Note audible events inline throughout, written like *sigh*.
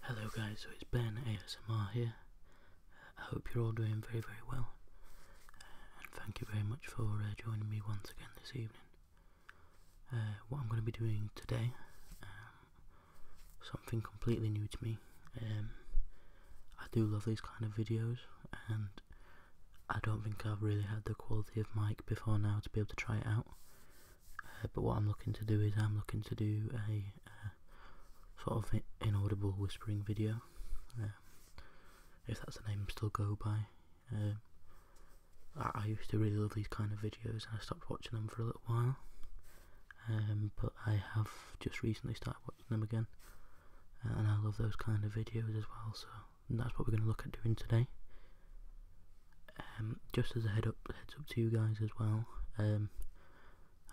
Hello guys, so it's Ben ASMR here. I hope you're all doing very very well uh, and thank you very much for uh, joining me once again this evening. Uh, what I'm going to be doing today, um, something completely new to me. Um, I do love these kind of videos and I don't think I've really had the quality of mic before now to be able to try it out. Uh, but what I'm looking to do is I'm looking to do a sort of inaudible whispering video, um, if that's the name still go by. Um, I, used to really love these kind of videos and I stopped watching them for a little while. Um, but I have just recently started watching them again, and I love those kind of videos as well. So and that's what we're going to look at doing today. Um, just as a head up, heads up to you guys as well. Um,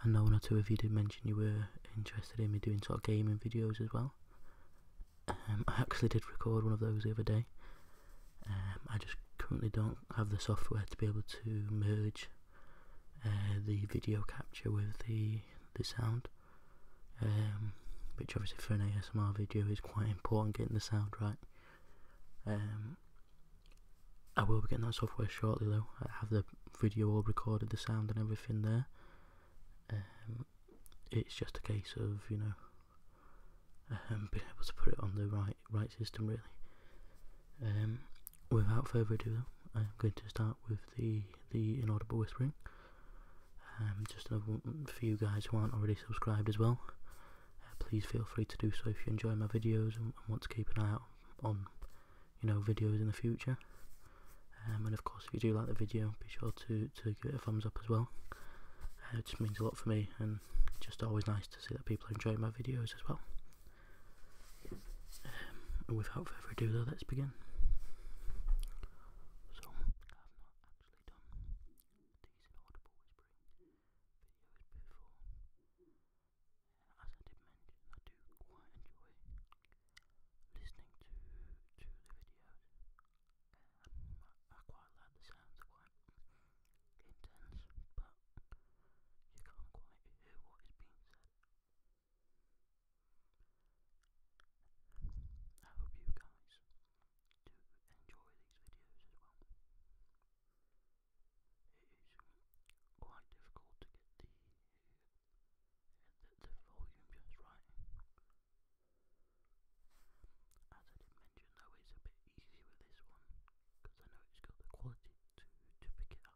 I know one or two of you did mention you were interested in me doing sort of gaming videos as well. Um, I actually did record one of those the other day. I just currently don't have the software to be able to merge uh, the video capture with the the sound. Um, which obviously for an ASMR video is quite important getting the sound right. Um, I will be getting that software shortly though. I have the video all recorded, the sound and everything there. Um, it's just a case of you know being able to put it on the right right system really. without further ado, I'm going to start with the the inaudible whispering. Um, just for you guys who aren't already subscribed as well, uh, please feel free to do so if you enjoy my videos and, want to keep an eye out on, you know, videos in the future. Um, and of course, if you do like the video, be sure to, to give it a thumbs up as well. Uh, it just means a lot for me, and just always nice to see that people enjoy my videos as well. Um, without further ado, though, let's begin. So, not actually done decent audible whispering videos before. as I did mention, I do quite enjoy listening to to the videos. I, quite like the sounds, quite intense, but you can't quite hear what is being said. I hope you guys do enjoy these videos as well. It is quite difficult to get the the, volume just right. As I did mention though, it's a bit easy with this one because I know it's got the quality to to pick it up.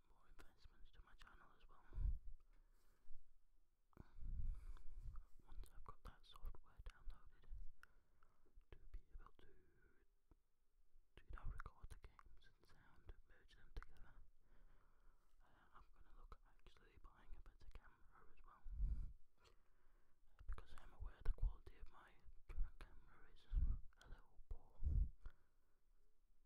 more investments to my channel as well. Once I've got that software downloaded to be able to to now record the games and sound, merge them together. Uh, I'm gonna look actually buying a better camera as well. Uh, because I'm aware the quality of my current camera is a little poor.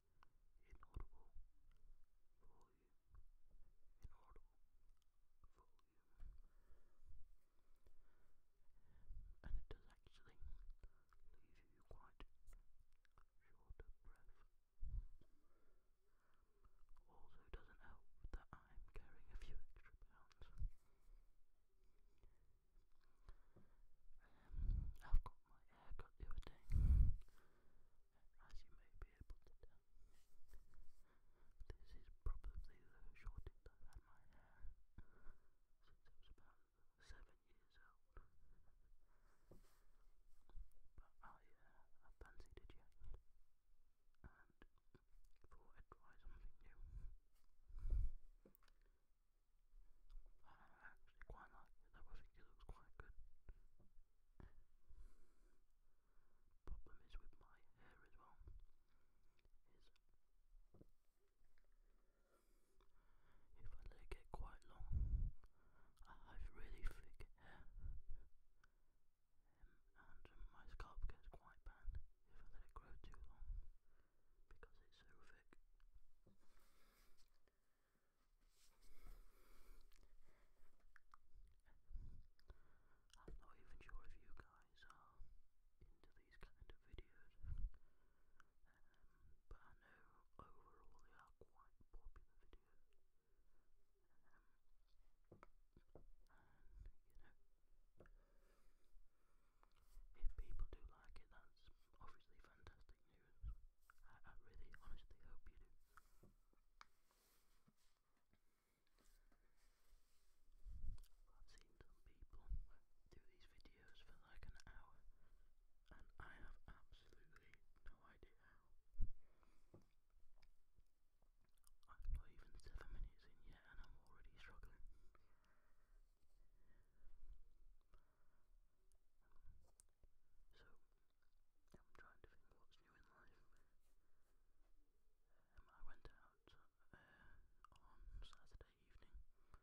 inaudible and it does actually leave you quite short of breath. Also, doesn't help that I'm carrying a few extra pounds. Um, I've got my haircut the other day, as you may be able to tell, this is probably the shortest I've had my hair since I was about seven years old. But I, uh, I fancied and thought I'd try something new. I actually quite like it though, it looks quite good. Problem is with my hair as well, if I let it quite long, I have really thick hair. and my scalp gets quite bad if I let it grow too long because it's so thick. I'm not even sure if you guys are into these kind of videos, um, but I know overall they are quite popular videos. Um, and, you know, if people do like it, that's obviously fantastic news. I, I really, honestly hope you do. I've seen some people do these videos for like an hour, and I have absolutely no idea how. I'm not even seven minutes in yet, and I'm already struggling. So, I'm trying to think what's new in life. Um, I went out uh, on Saturday evening to celebrate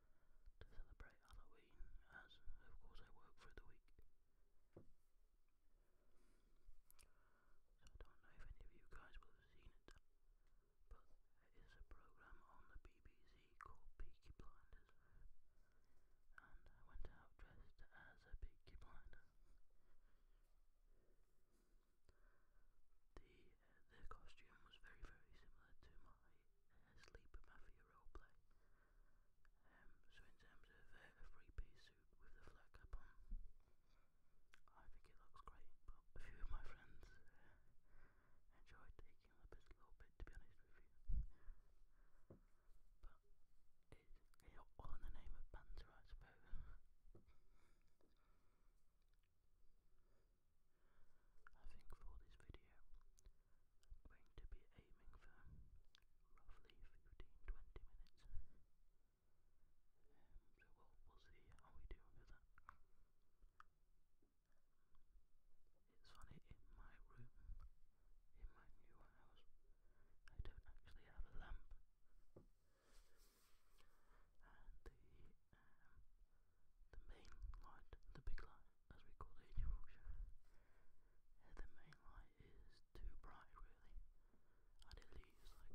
Halloween, as of course I work through the week. So I don't know if any of you guys will have seen it, but is a program on the BBC called Peaky Blinders, and I went out dressed as a Peaky Blinder. The uh, the costume was very very similar to my uh, Sleep Mafia roleplay. Um, so in terms of uh, a three piece suit with the flat cap on, I think it looks great. But a few of my friends uh, enjoy taking the piss a little bit, to be honest with you. But it's all in the name of banter, I suppose. I think for this video, I'm going to be aiming for roughly 15-20 minutes. Um, so we'll see how we do with that. It's funny, in my room, in my new house, I don't actually have a lamp. And the, um, the main light, the big light, as we call it in Yorkshire, yeah, the main light is too bright really, and it leaves like a, uh, a streak of light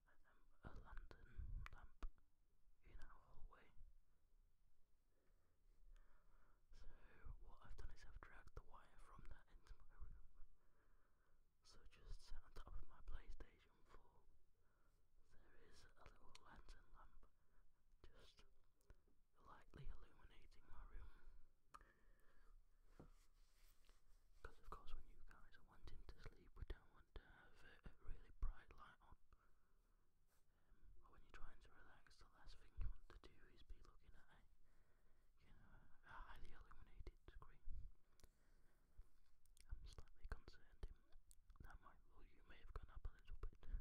a lantern lamp in our hallway. So what I've done is I've dragged the wire from that into my room. So just sat on top of my PlayStation 4, there is a little lantern lamp just lightly illuminating my room. Because, of course, when you guys are wanting to sleep, we don't want to have a, really bright light on. Um, when you're trying to relax, the last thing you want to do is be looking at you know, highly illuminated screen. I'm slightly concerned that my may have gone up a little bit, *laughs* so I'm trying to bring it back down as well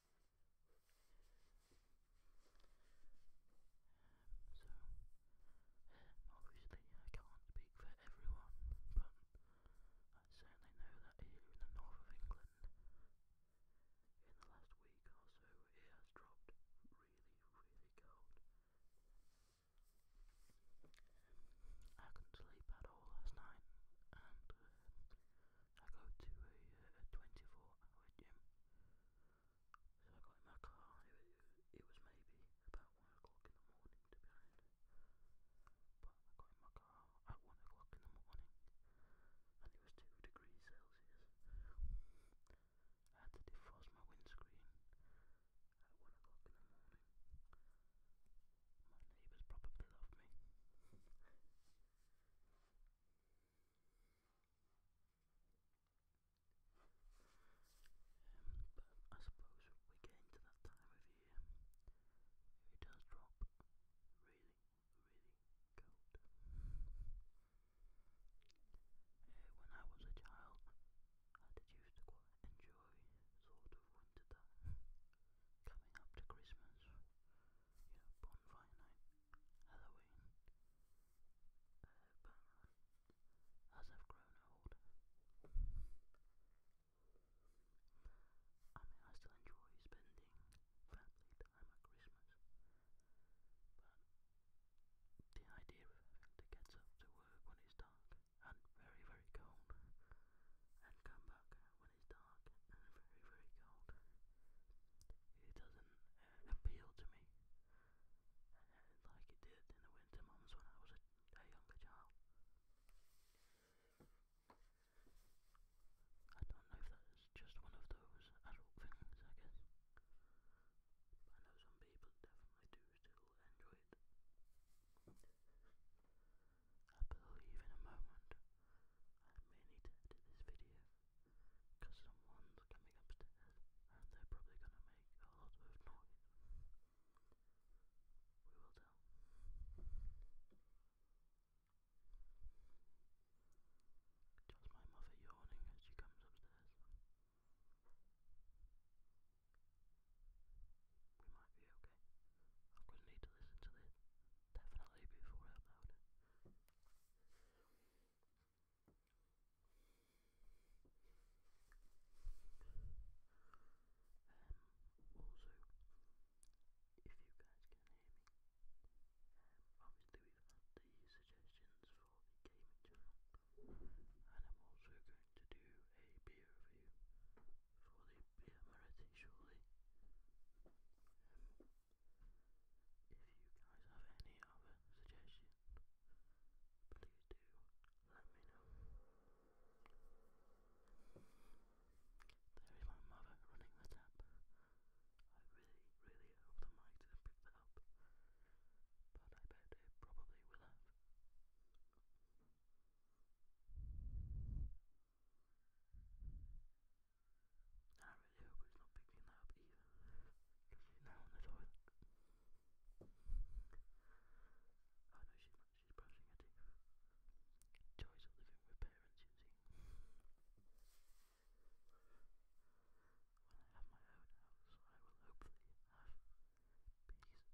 obviously, I can't speak for everyone, but I certainly know that here in the north of England, in the last week or so, it has dropped really, really cold. Um, I couldn't sleep at all last night, um, I go to a, a uh, 24 hour gym. So I got in my car, it, it, it was maybe about 1 o'clock in the morning to be honest. But I got in my car at 1 o'clock in the morning and it was 2 degrees Celsius. I had to defrost my windscreen at 1 o'clock in the morning. My neighbours probably love me. Um, I suppose we're to that time of year. It does drop really, really cold. Uh, when I was a child, I did used to quite enjoy sort of winter time. Coming up to Christmas, you bonfire night, Halloween. Uh, as I've grown old, I mean, I still enjoy spending family time at Christmas, but the idea of having to get up to work when it's dark and very, very cold and come back when it's dark and very, very cold. It doesn't uh, appeal to me uh, like it did in the winter months when I was a, a younger child. I don't know if that's just one of those adult things, I guess. But I know some people definitely do still enjoy it. I believe in a moment I may need to edit this video because someone's coming upstairs and they're probably gonna make a lot of noise. We will tell. Just my mother yawning as she comes upstairs. We might be okay. I'm gonna need to listen to this Definitely before upload. Um, also, if you guys can hear me, um, obviously we've had the suggestions for the gaming channel, and I'm also going to do a beer review for the be a Merity shortly. if you guys have any other suggestions, please do let me know. There is my mother running the tap. I really, really hope the mic didn't pick that up, but I bet it probably will have. And I really hope it's not picking that up either. she's now on the toilet. Oh no, she's She's brushing her teeth. Joys living with parents, you When I have my own house, I will hopefully have peace and quiet.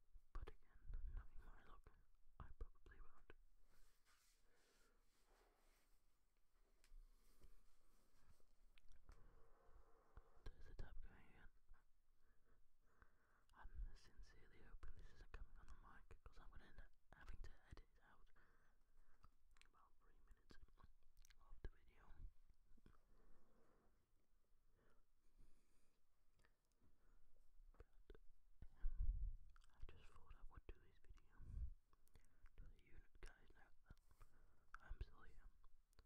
But again, knowing my luck, I probably won't. There's the tap going again. I'm sincerely hoping this isn't coming on the mic because I'm going to end up having to edit it out about three minutes of the video. I just thought I would do this video to the unit guys know I'm still And, like I mentioned on the previous video,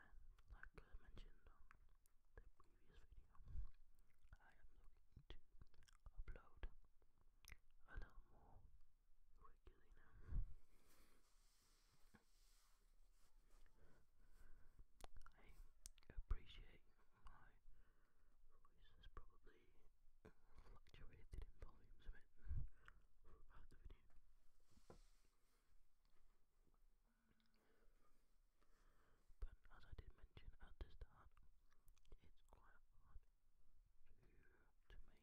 I am looking to upload a little more regularly now. I appreciate my voice has probably fluctuated in volumes a bit throughout the video. But as I did mention at the start, it's quite hard to, maintain volume and get it right through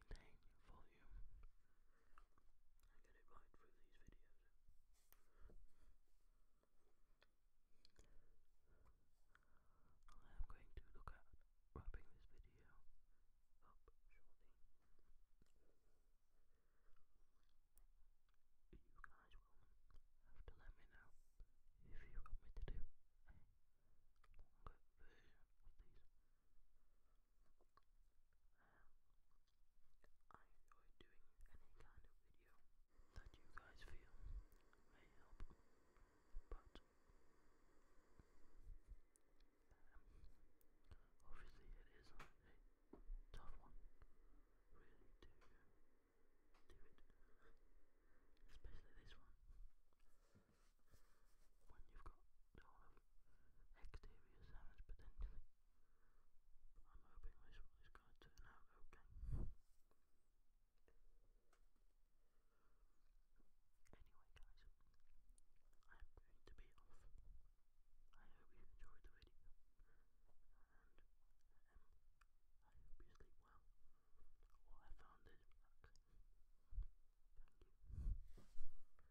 these videos. I am going to look at wrapping this video up shortly. You guys will have to let me know if you want me to do I enjoy doing any kind of video that you guys feel may help, but um, obviously it is a tough one, really, to do it, especially this one. When you've got sort of exterior sounds potentially I'm hoping this is going to turn out okay. Anyway, guys, I'm going to be off. I hope you enjoyed the video, and um, I hope you well. I found it.